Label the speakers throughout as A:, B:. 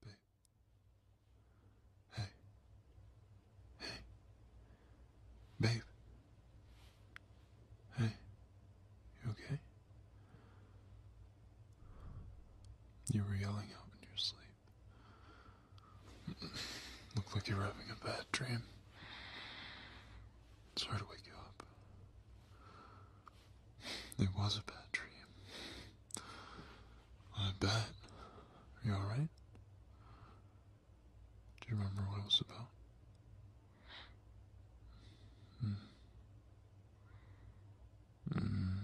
A: Babe. Hey. Hey. Babe. Hey. You okay? You were yelling out in your sleep. Looked like you were having a bad dream. It's hard to wake you up. It was a bad dream. I bet. Are you alright? Do you remember what it was about? Mm. Mm.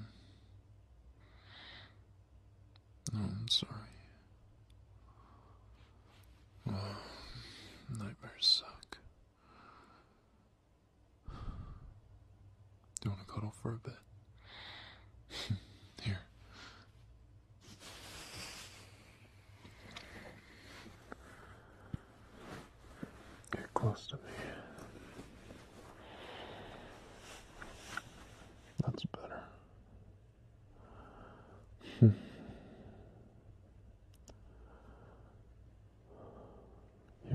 A: No, I'm sorry. nightmares suck. Do you want to cuddle for a bit? Here. Get close to me. That's better you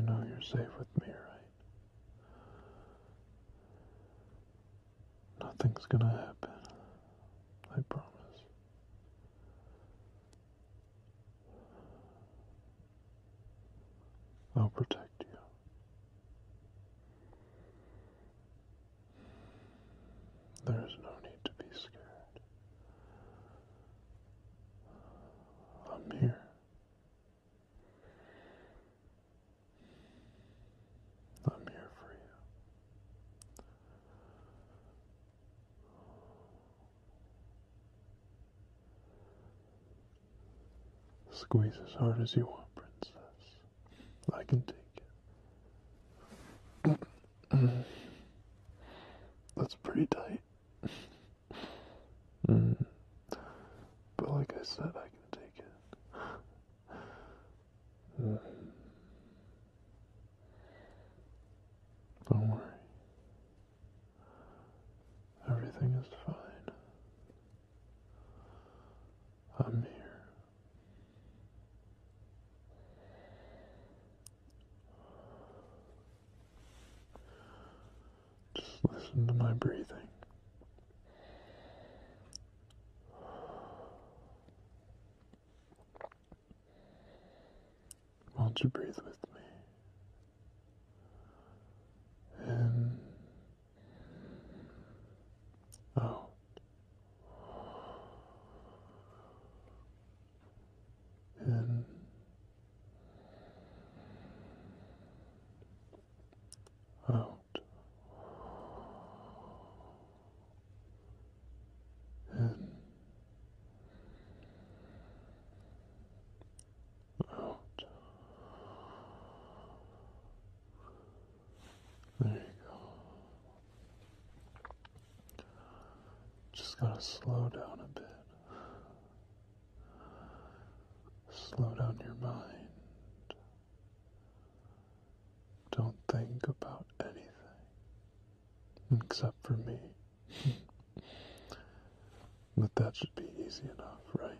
A: know you're safe with me, right? Nothing's gonna happen. I promise. I'll protect you. There is no need to be scared. I'm here. I'm here for you. Squeeze as hard as you want, princess. I can take it. That's pretty tight. But like I said, I can take it. Don't worry. Everything is fine. I'm here. Just listen to my breathing. Won't you breathe with me? In, out. Oh and um, out and um, out there you go. Just gotta slow down a bit. Slow down your mind. Don't think about anything except for me. but that should be easy enough, right?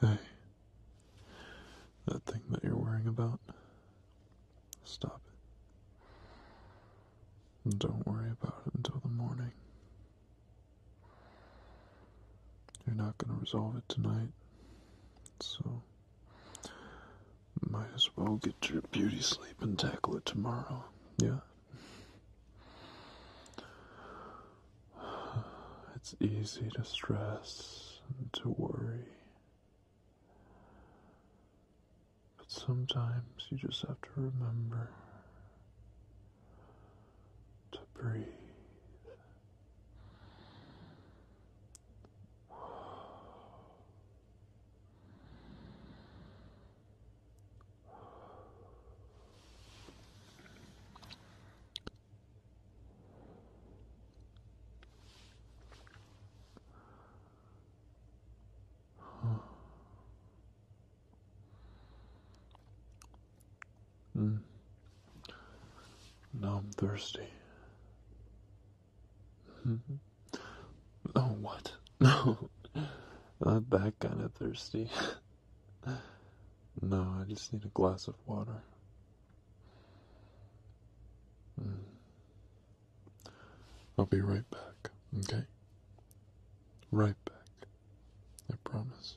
A: Hey, that thing that you're worrying about, stop it. Don't worry about it until the morning. You're not going to resolve it tonight. So, might as well get your beauty sleep and tackle it tomorrow, yeah? It's easy to stress and to worry. But sometimes you just have to remember to breathe. Mm. Now I'm thirsty. Hmm. Oh, what? No, not that kind of thirsty. no, I just need a glass of water. Hmm. I'll be right back, okay? Right back. I promise.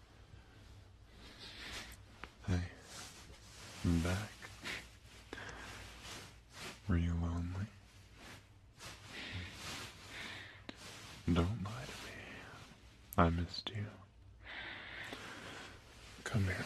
A: Hey, I'm back. Were you lonely? Don't lie to me. I missed you. Come here.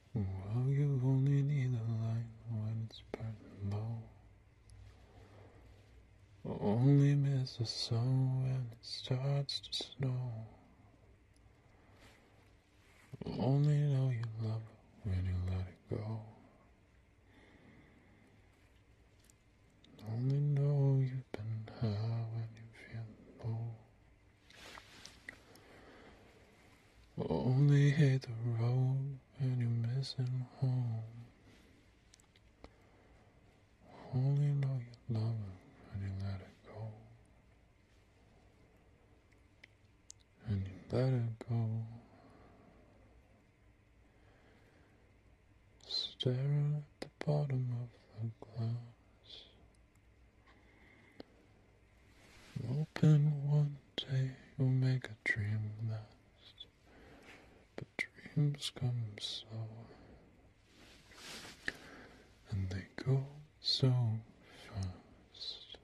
A: Well, you only need a light when it's burning low. Only miss the sun when it starts to snow. Only know you love it when you let it go. Only know you've been high when you feel low. Only hit the road and you're missing home. Only know you love her when you let her go. And you let it go. Staring at the bottom of the glass. Open one day you'll make a dream last, but dreams come slow, and they go so fast.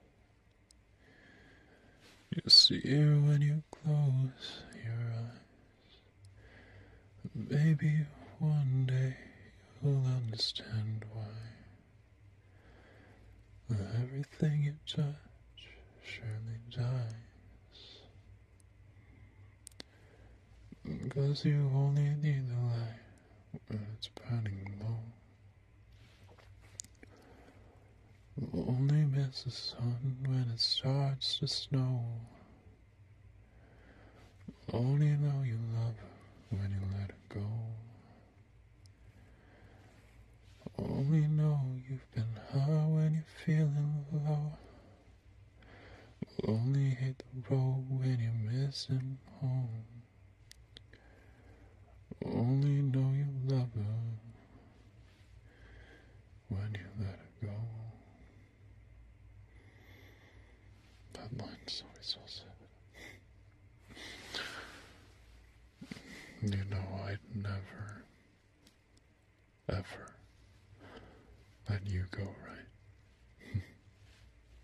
A: You see it when you close your eyes, maybe one day you'll understand why. Everything you touch surely dies. Because you only need the light when it's burning low. You'll only miss the sun when it starts to snow. only know you love when you let it go. Only oh, know you've been high when you're feeling low. only hit the road when you're missing home. only know you love her when you let her go. That line's always so sad. You know, I'd never, ever let you go, right?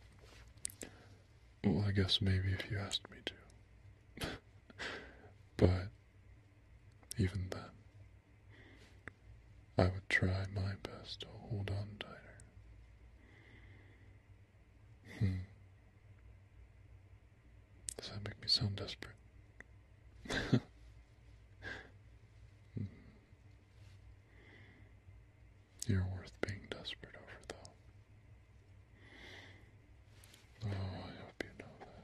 A: well, I guess maybe if you asked me to. but even then, I would try my best to hold on tighter. Hmm. Does that make me sound desperate? Hmm. You're worth being desperate over, though. Oh, I hope you know that.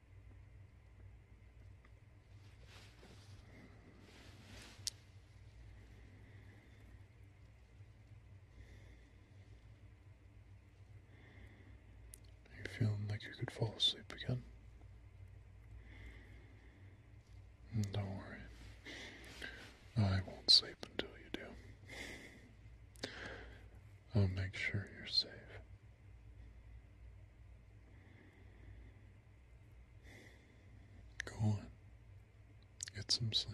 A: You're feeling like you could fall asleep again. Mm, don't worry. I won't sleep until you do. I'll make sure you're safe. Go on. Get some sleep.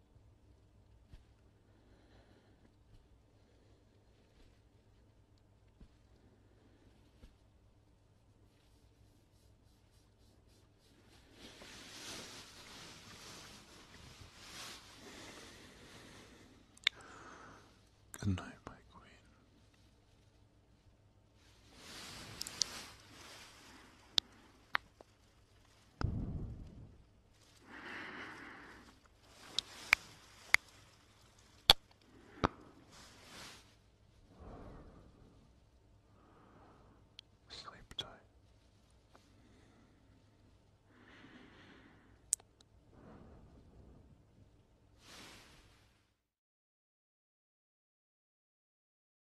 A: Good night, my queen. Sleep tight.